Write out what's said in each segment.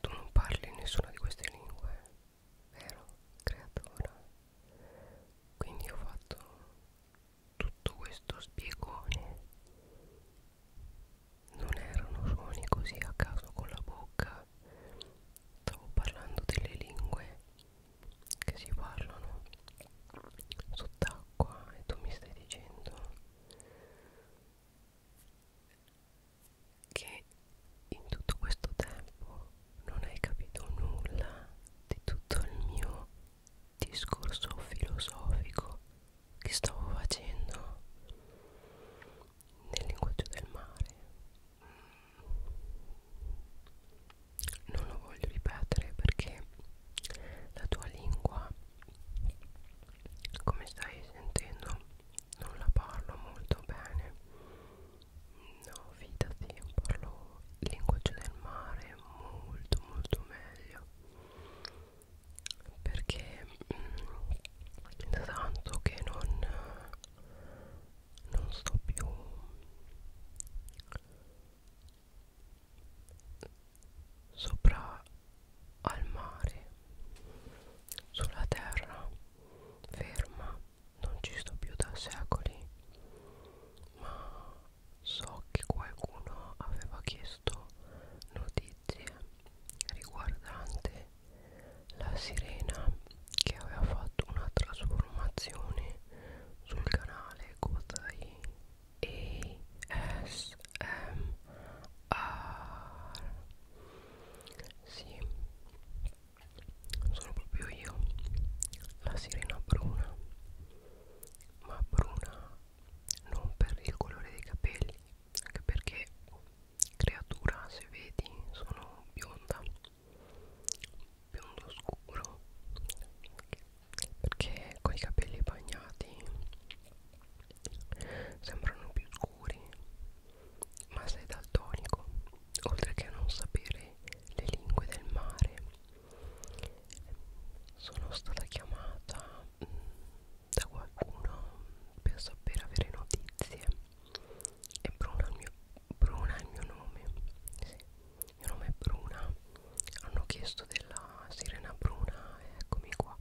Tu non parli nessuna di queste lingue, vero? Creatora. Quindi ho fatto tutto questo spiegone non erano suoni così a caso con la bocca stavo parlando delle lingue che si parlano sott'acqua e tu mi stai dicendo che in tutto questo tempo non hai capito nulla di tutto il mio discorso filosofico che stavo facendo nel linguaggio del mare mm. non lo voglio ripetere perché la tua lingua come stai sentendo non la parlo molto bene no fidati parlo il linguaggio del mare è molto molto meglio perché mh, mm, tanto che non non sto più sopra al mare sulla terra ferma non ci sto più da secoli ma so che qualcuno aveva chiesto notizie riguardante la sirena che aveva fatto una trasformazione sul canale Kotai ASMR sì sono proprio io la sirena bruna ma bruna non per il colore dei capelli anche perché creatura se vedi sono bionda biondo scuro perché con i capelli bagnati sembrano più scuri ma sei daltonico oltre che a non sapere le lingue del mare sono stata chiamata mh, mm, da qualcuno per sapere avere notizie e Bruna è il mio, Bruna è il mio nome sì, il mio nome è Bruna hanno chiesto della sirena Bruna e eccomi qua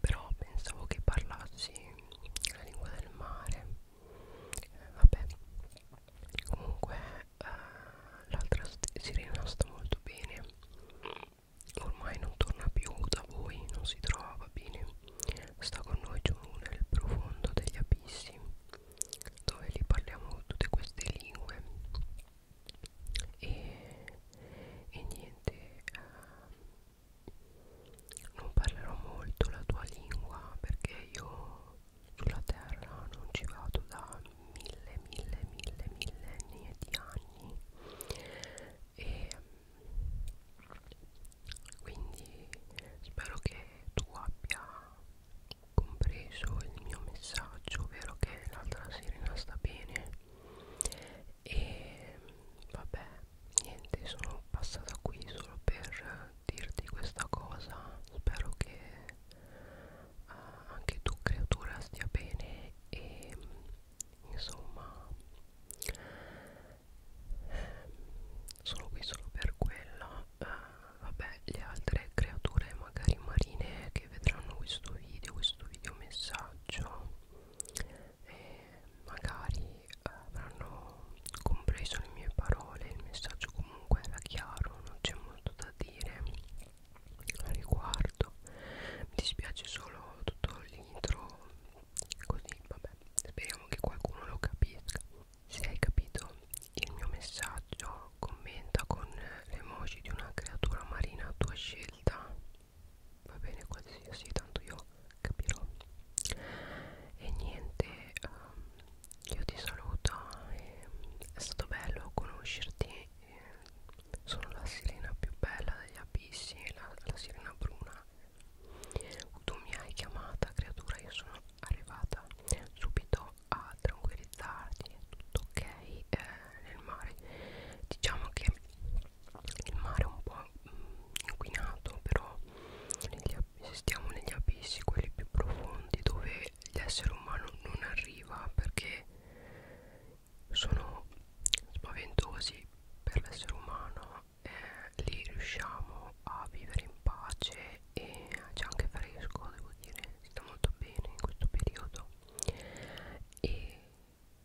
però pensavo che parlassi la lingua del mare eh, vabbè comunque eh, l'altra sirena sta molto bene ormai non torna più da voi non si trova bene sta con noi giù nel profondo degli abissi dove li parliamo tutte queste lingue e, e niente eh, non parlerò molto la tua lingua perché io sulla terra non ci vado da mille mille mille millenni di anni e quindi spero che tu abbia compreso il mio messaggio ovvero che l'altra sirena sta bene e vabbè niente sono passata qui solo per dirti questa cosa spero che uh, anche tu creatura stia bene e insomma ehm, sono qui solo per quello uh, ah, vabbè le altre creature magari marine che vedranno questo video questo video messaggio e magari eh, avranno compreso le mie parole il messaggio comunque era chiaro non c'è molto da da dire a riguardo mi dispiace solo tutto l'intro così vabbè speriamo che qualcuno lo capisca se hai capito il mio messaggio commenta con l'emoji di una creatura marina a tua scelta va bene qualsiasi tanto io capirò e niente um, io ti saluto e è stato bello conoscerti eh, sono la sirena più bella degli abissi la, la sirena bruna tu mi hai chiamata creatura io sono arrivata subito a tranquillizzarti è tutto ok eh, nel mare diciamo che il mare è un po' inquinato però negli, stiamo negli abissi quelli più profondi dove gli esseri umani non arriva perché sono spaventosi per l'essere umano eh, lì riusciamo a vivere in pace e c'è anche fresco devo dire si sta molto bene in questo periodo e,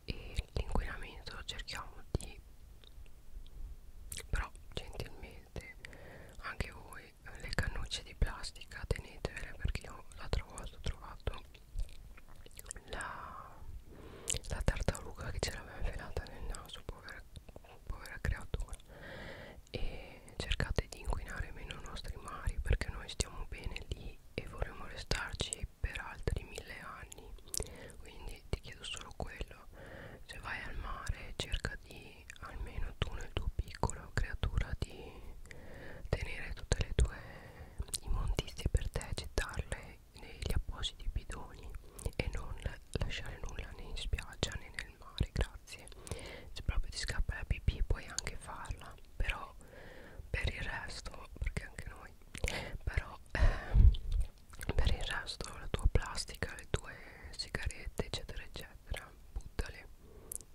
e l'inquinamento cerchiamo di però gentilmente anche voi le cannucce di plastica tenetevele perché io l'altra volta ho trovato la, la tartaruga che ce l'aveva infilata nel naso povera, povera creatura e cercate di inquinare meno i nostri mari perché noi stiamo bene lì e vorremmo restarci per altri mille anni quindi ti chiedo solo quello se vai al mare cerca di almeno tu nel tuo piccolo creatura di tenere tutte le tue immondizie per te gettarle negli appositi bidoni e non lasciare nulla né in spiaggia né nel mare grazie se proprio ti scappa la pipì puoi anche farla però per il resto perché anche noi però eh, per il resto la tua plastica le tue sigarette eccetera eccetera buttale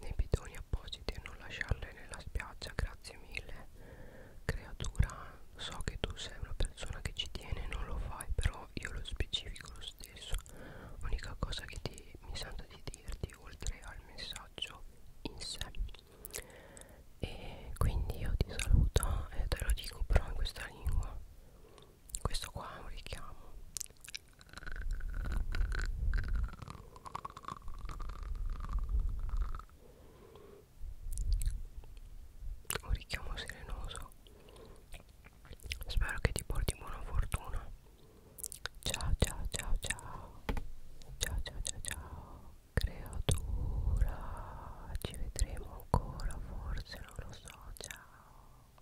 nei bidoni appositi e non lasciarle nella spiaggia grazie mille creatura so che tu sei una persona che ci tiene e non lo fai però io lo specifico lo stesso l'unica cosa che ti, mi sento di dirti oltre al messaggio in sé e quindi io ti saluto e te lo dico però in questa lingua questo qua è un richiamo un richiamo serenoso spero che ti porti buona fortuna ciao ciao ciao ciao ciao ciao ciao ciao creatura ci vedremo ancora forse non lo so ciao